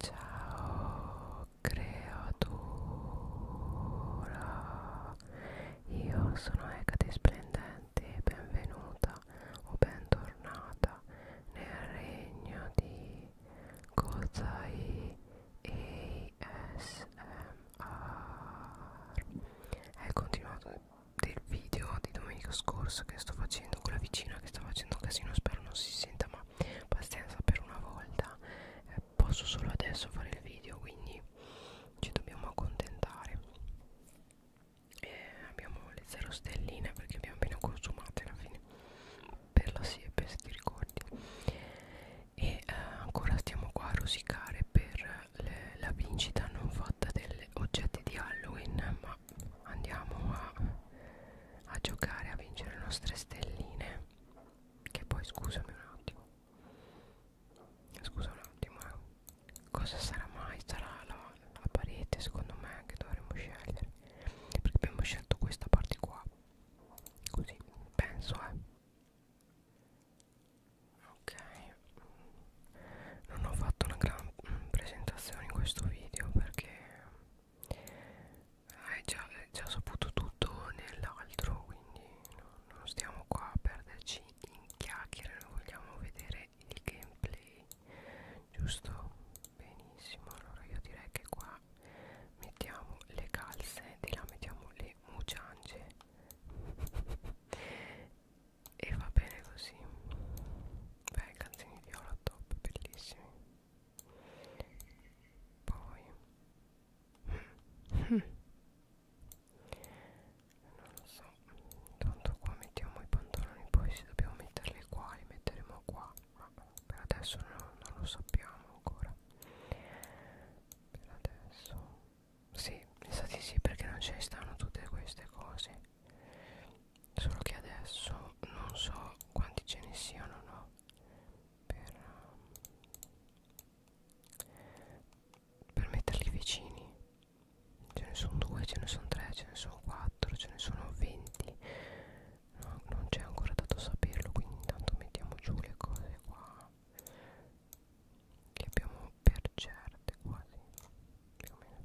Ciao creatura, io sono Ecate Splendente e benvenuta o bentornata nel regno di Gozai ASMR. È il continuato del video di domenica scorsa che sto facendo con la vicina che sta facendo un casino, spero non si senta ma pazienza pazienza per una volta eh, posso solo adesso fare il video quindi ci dobbiamo accontentare e eh, abbiamo le 0 stelline perché abbiamo appena consumate alla fine per la siepe se ti ricordi e eh, ancora stiamo qua a rosicare per eh, le, la vincita non fatta degli oggetti di Halloween ma ma andiamo a, a giocare a vincere le nostre stelline che poi scusami un attimo scusa un attimo eh. cosa sarà mai sarà la, la parete secondo me che dovremmo scegliere perché abbiamo scelto questa parte qua così penso eh ok non ho fatto una gran presentazione in questo video perché hai eh, già, hai eh, già saputo tutto nell'altro quindi no, non stiamo qua a perderci in chiacchiere noi vogliamo vedere il gameplay giusto benissimo allora io direi che qua mettiamo le calze di là mettiamo le muciange e va bene così beh calzini viola top bellissimi poi non lo so tanto qua mettiamo i pantaloni poi se dobbiamo metterli qua li metteremo qua ma per adesso no, non lo sappiamo ancora per adesso sì, esatto sì perché non ce ne stanno tutte queste cose solo che adesso non so quanti ce ne siano no per, ehm, per metterli vicini ce ne sono due ce ne sono tre ce ne sono quattro ce ne sono venti no, non c'è ancora dato saperlo quindi intanto mettiamo giù le cose qua che abbiamo per certe quasi più o meno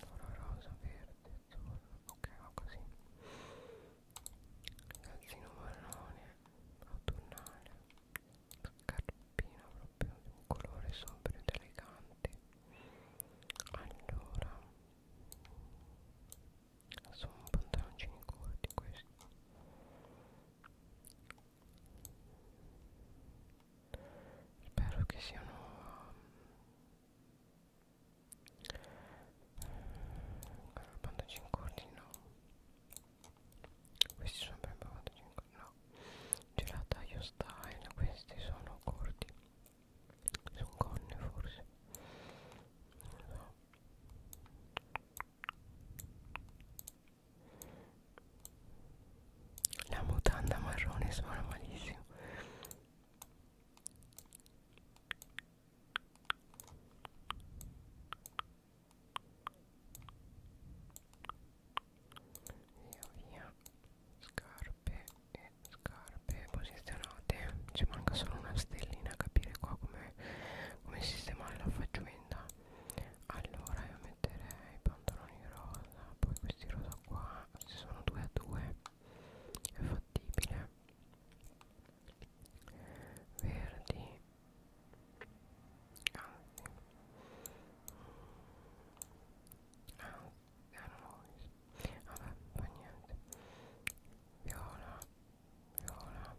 allora rosa verde azzurro ok va così calzino marrone autunnale scarpina proprio di un colore sobrio ed elegante allora sono pantaloncini corti questi spero che siano um, allora, bandaggio in cordi no Questi sono per bandaggio in cordi no Gelataio style, questi sono cordi Sono conne forse Non so la mutanda marrone suona malissimo Via via Scarpe e scarpe posizionate Ci manca solo una stellina a capire qua come com sistemare la faccenda Allora io metterei i pantaloni rosa Poi questi rosa questo qua se sono 2 a 2 è fattibile verdi anzi anzi erano vabbè fa niente viola viola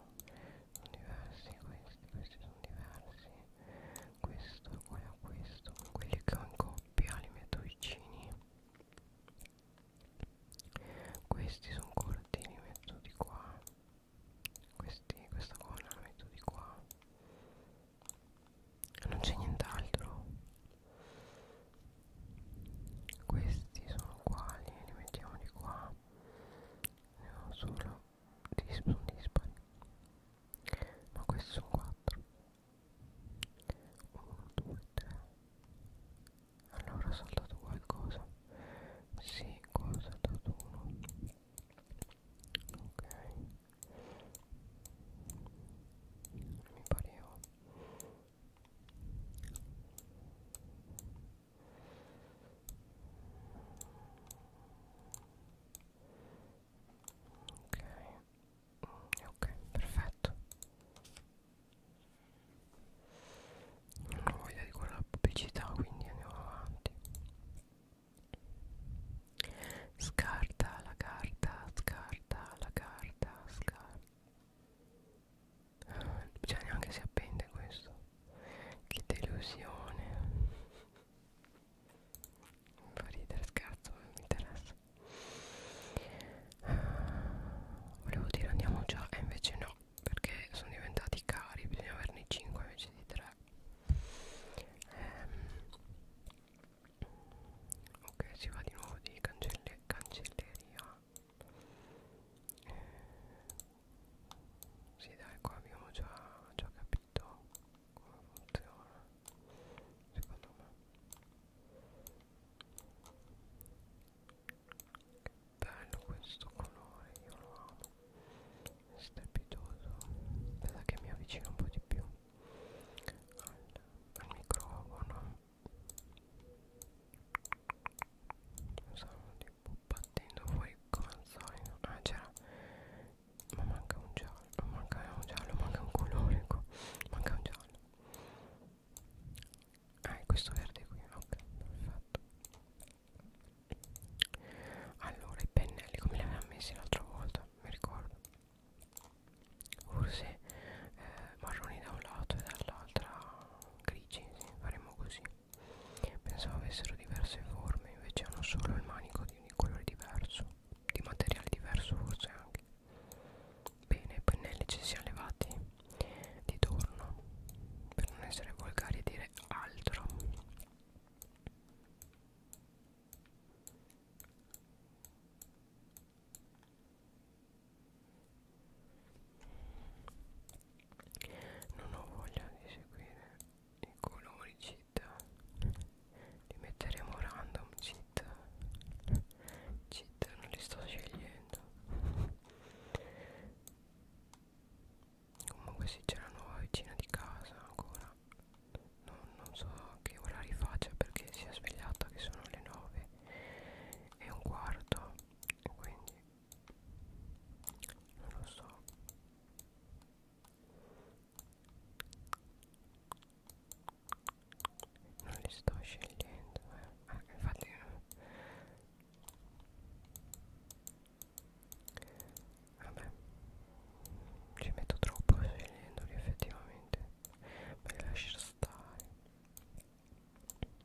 sono diversi questi questi sono diversi questo, quello, questo, quelli che ho in coppia li metto vicini questi sono corti, li metto di qua questi, questa buona la metto di qua non c'è nient'altro questi sono uguali, li mettiamo di qua ne ho solo sono dispari no questi sono 4 1 2 3 allora ho saltato qualcosa sì qua ho saltato uno ok mi pareva ok ok perfetto non ho voglia di guardare la pubblicità quindi andiamo avanti scarta la carta scarta la carta scarta ah, cioè neanche si appende questo che delusione mi fa ridere scherzo non mi interessa ah, volevo dire andiamo già e invece no perché sono diventati cari bisogna averne 5 invece di 3 ehm, ok si va di nuovo di cancelle, cancelleria eh, sì dai qua abbiamo già, già capito come funziona secondo me bello questo colore io lo amo è strepitoso pensa che mi avvicino un po' di più al, al microfono non so, di battendo fuori come al solito ah c'era ma manca un giallo manca un giallo manca un colore qua manca un giallo ah è questo verde qui ok perfetto allora i pennelli come li avevamo messi l'altra volta mi ricordo forse eh, marroni da un lato e dall'altra grigi sì, faremo così Pensavo avessero diverse forme, invece hanno solo il manico di un colore diverso, di materiale diverso forse anche. Bene, i pennelli ci siamo levati di torno, per non essere volgari e dire altro non ho voglia di seguire i colori cheat li metteremo random cheat cheat non li sto scegliendo comunque sì c'è la nuova vicina di casa ancora non, non so che orari faccia perché si è svegliata che sono le 9 e un quarto quindi non lo so non li sto scegliendo eh. Eh, infatti vabbè ci metto troppo scegliendoli effettivamente me li lascio stare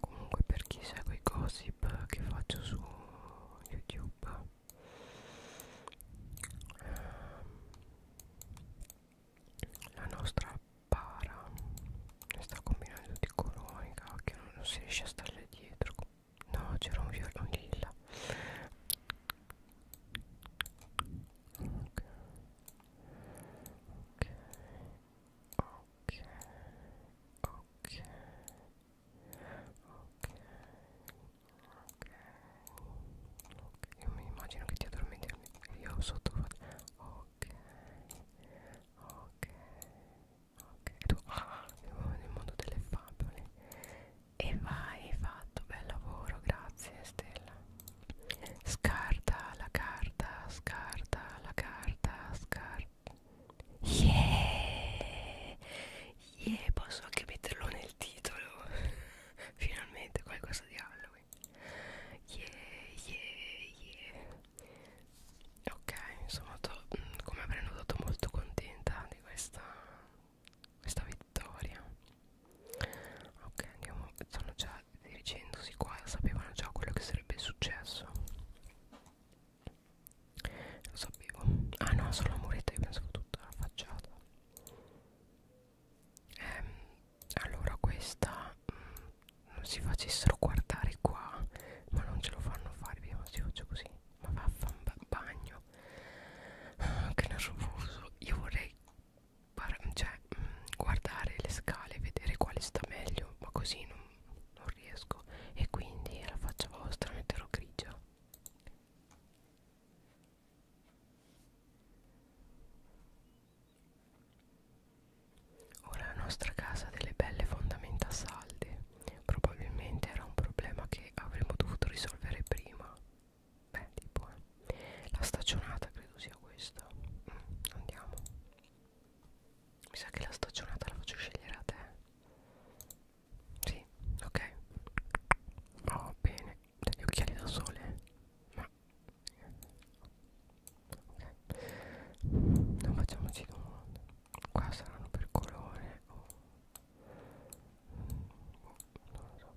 Comunque per chi segue i gossip che faccio su YouTube la nostra para ne sta combinando tutti i colori che non si riesce a starle dietro no c'era un viola lilla ok ok ok ok ok ok, ok io mi immagino che ti addormenti io sotto ok ok ok e tu ah, nel mondo delle favole e vai fatto bel lavoro grazie Stella scarta la carta scarta la carta scarta yeah yeah posso anche metterlo nel titolo finalmente qualcosa di Halloween yeah yeah yeah ok insomma to, mm, come prenotato molto contenta di questa questa vittoria ok andiamo sono già dirigendosi qua sapevano già quello che sarebbe successo lo sapevo ah no solo la muretta io pensavo tutta la facciata ehm, allora questa mh, mm, non si facessero guardare qua ma non ce lo fanno fare via ma si faccio così ma vaffan bagno ah, che nervoso io vorrei cioè, mh, mm, guardare le scale vedere quale sta meglio ma così non, non riesco e quindi alla faccia vostra metterò grigia Ora la nostra casa ha delle belle fondamenta salde, probabilmente era un problema che avremmo dovuto risolvere prima. Beh, tipo, eh. la stagionata credo sia questa. Mm, andiamo. Mi sa che la stagionata la faccio scegliere a te. Sì, ok. Oh, bene. Degli occhiali da sole. Ma... Ok. Non facciamoci domande. Qua saranno per colore o... Oh, non lo so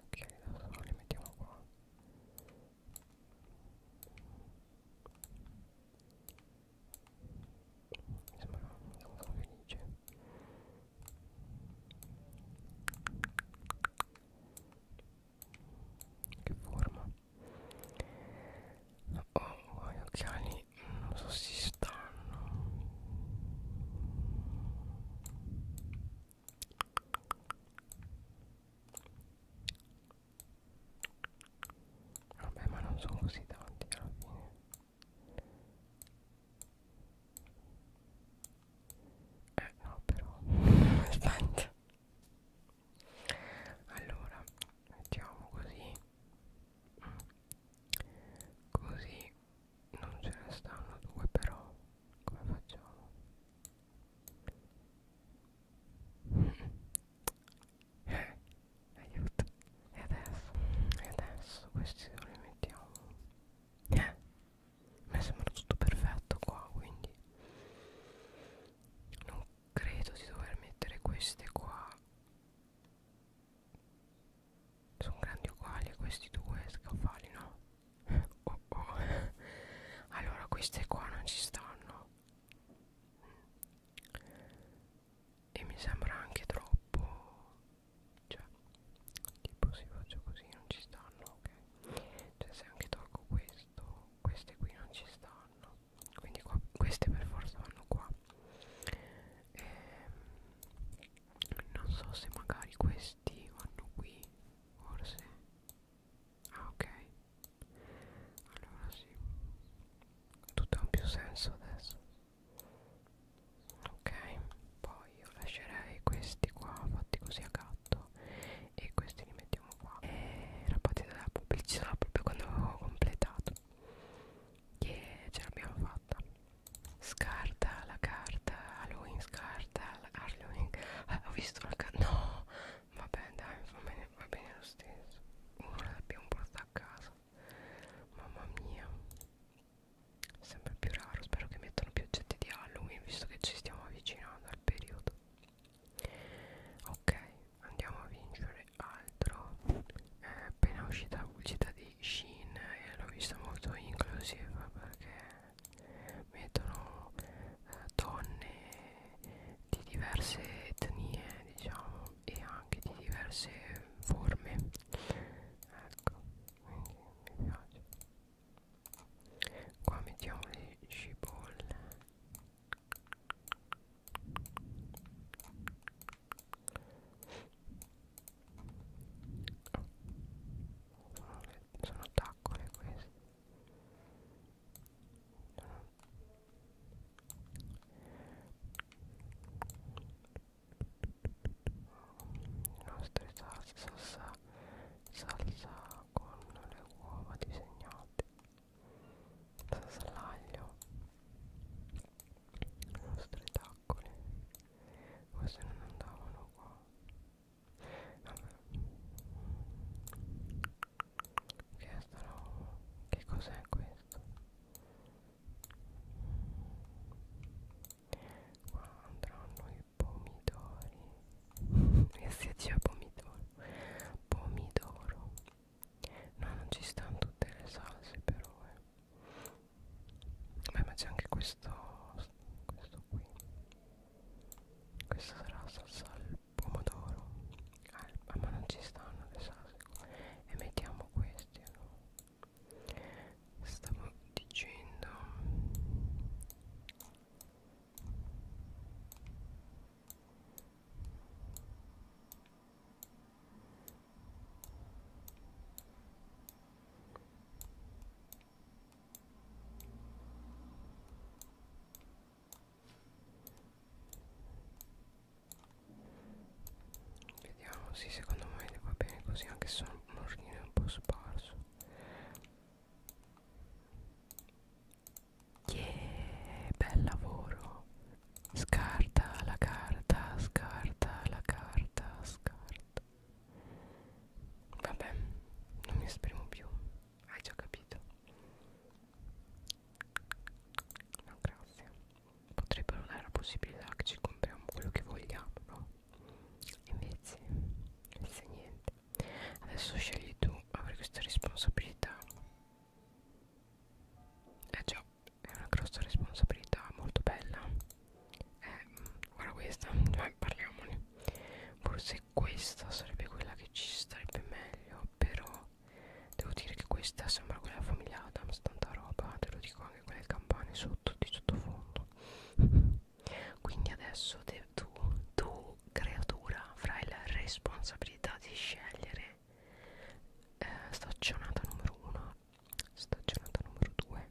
ok adesso li mettiamo qua mi sembra sono felice che forma oh, ho gli occhiali quindi non so se si stanno vabbè ma non sono così tanti alla fine eh no però aspetta allora mettiamo così Così non ce ne stanno due però come facciamo? Eh, aiuto. E adesso, e adesso questi dove li mettiamo? Eh, mi sembra tutto perfetto qua, quindi non credo di dover mettere queste qua sono grandi uguali a questi due scaffali no? oh oh allora queste qua non ci stanno e mi sembra anche troppo cioè tipo se faccio così non ci stanno ok cioè se anche tolgo questo queste qui non ci stanno quindi qua, queste per forza vanno qua e, ehm, non so se magari questi vanno qui forse ah ok allora sì tutto ha più senso adesso ok poi io lascerei questi qua fatti così a gatto e questi li mettiamo qua e eh, la partita della pubblicità proprio quando avevo completato yeah, ce l'abbiamo fatta scarta la carta Halloween scarta la Halloween ah, ho visto la carta no vabbè dai va bene, va bene lo stesso uno l'abbiamo portata a casa mamma mia sempre più raro spero che mettano più oggetti di Halloween visto che ci stiamo avvicinando al periodo ok andiamo a vincere altro è appena uscita uscita di Shin e l'ho vista molto inclusive perché mettono eh, donne di diverse etnie diciamo e anche di diverse forme ecco quindi mi piace qua mettiamo le cipolle sono, le, sono taccole queste sono... nostre salsa salsa con le uova disegnate salsa all'aglio nostre taccole queste non andavano qua Vabbè. che no che cos'è questo qua andranno i pomidori e si dice pomidoro pomidoro No, non ci stanno tutte le salse però eh. Beh ma c'è anche questo questo qui Questa sarà la salsa al pomodoro ah, ma non ci stanno le salse E mettiamo questi allora Stavo dicendo Vediamo, sì, secondo me va bene così, anche se sono un ordine un po' sparso. Yeah, bel lavoro. Scarta la carta, scarta la carta, scarta. Vabbè, non mi esprimo più. Hai già capito. No, grazie. Potrebbero dare la possibilità che ci compriamo quello che vogliamo, no? Invece, invece niente. Adesso scegli tu avere questa responsabilità eh già, è una grossa responsabilità, molto bella. Eh, guarda questa, cioè, parliamone. Forse questa sarebbe quella che ci starebbe meglio, però devo dire che questa sembra quella della famiglia Adams, tanta roba, te lo dico anche quelle campane sotto di sottofondo. Quindi adesso tu, tu tu creatura avrai la responsabilità di scegliere eh, stagionata numero 1 stagionata numero 2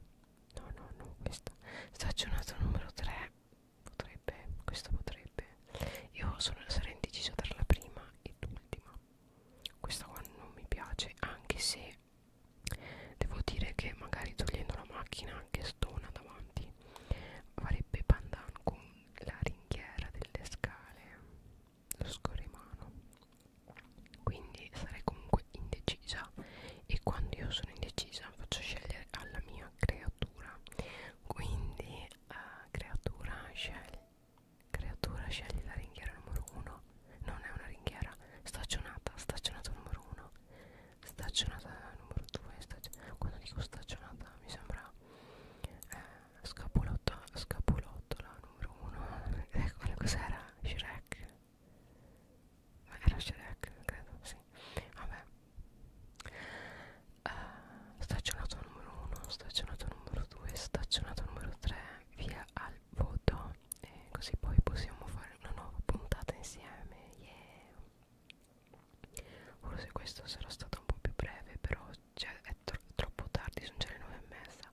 no no no questa stagionata numero 3 potrebbe questa potrebbe io sono, sarei indecisa tra la prima e l'ultima questa qua non mi piace anche se devo dire che magari togliendo la macchina che stona davanti farebbe pandan con la ringhiera delle scale lo scorrimano quindi sarei comunque indecisa e quando io sono indecisa faccio scegliere alla mia creatura quindi uh, creatura scegli creatura scegli la ringhiera numero 1 non è una ringhiera stagionata stagionata numero 1 stagionata numero 2 stagionata. quando dico stagionata mi sembra eh, scapolotta scapolottola numero 1 ecco eh, cos'era Shrek era Shrek credo sì vabbè uh, eh, stagionato numero 1 stagionato numero 2 stagionato numero 3 via al voto e così poi possiamo fare una nuova puntata insieme yeah Forse questo sarà stato un po' più breve, però cioè, è tro troppo tardi, sono già le nove e mezza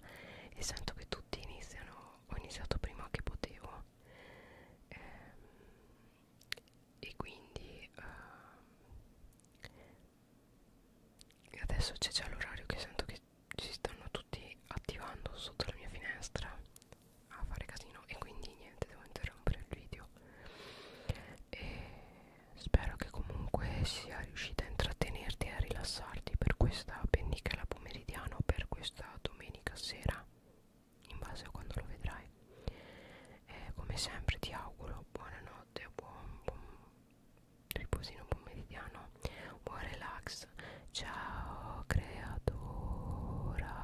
e sento che tutti iniziano, ho iniziato prima che potevo ehm, e quindi eh, adesso c'è già l'orario che sento che si stanno tutti attivando sotto la mia finestra a fare casino e quindi niente, devo interrompere il video e spero che comunque sia riuscita a intrattenerti e a rilassarti per questa pennichela pomeridiana o per questa domenica sera in base a quando lo vedrai e come sempre ti auguro buonanotte buon, buon riposino pomeridiano buon relax ciao creatura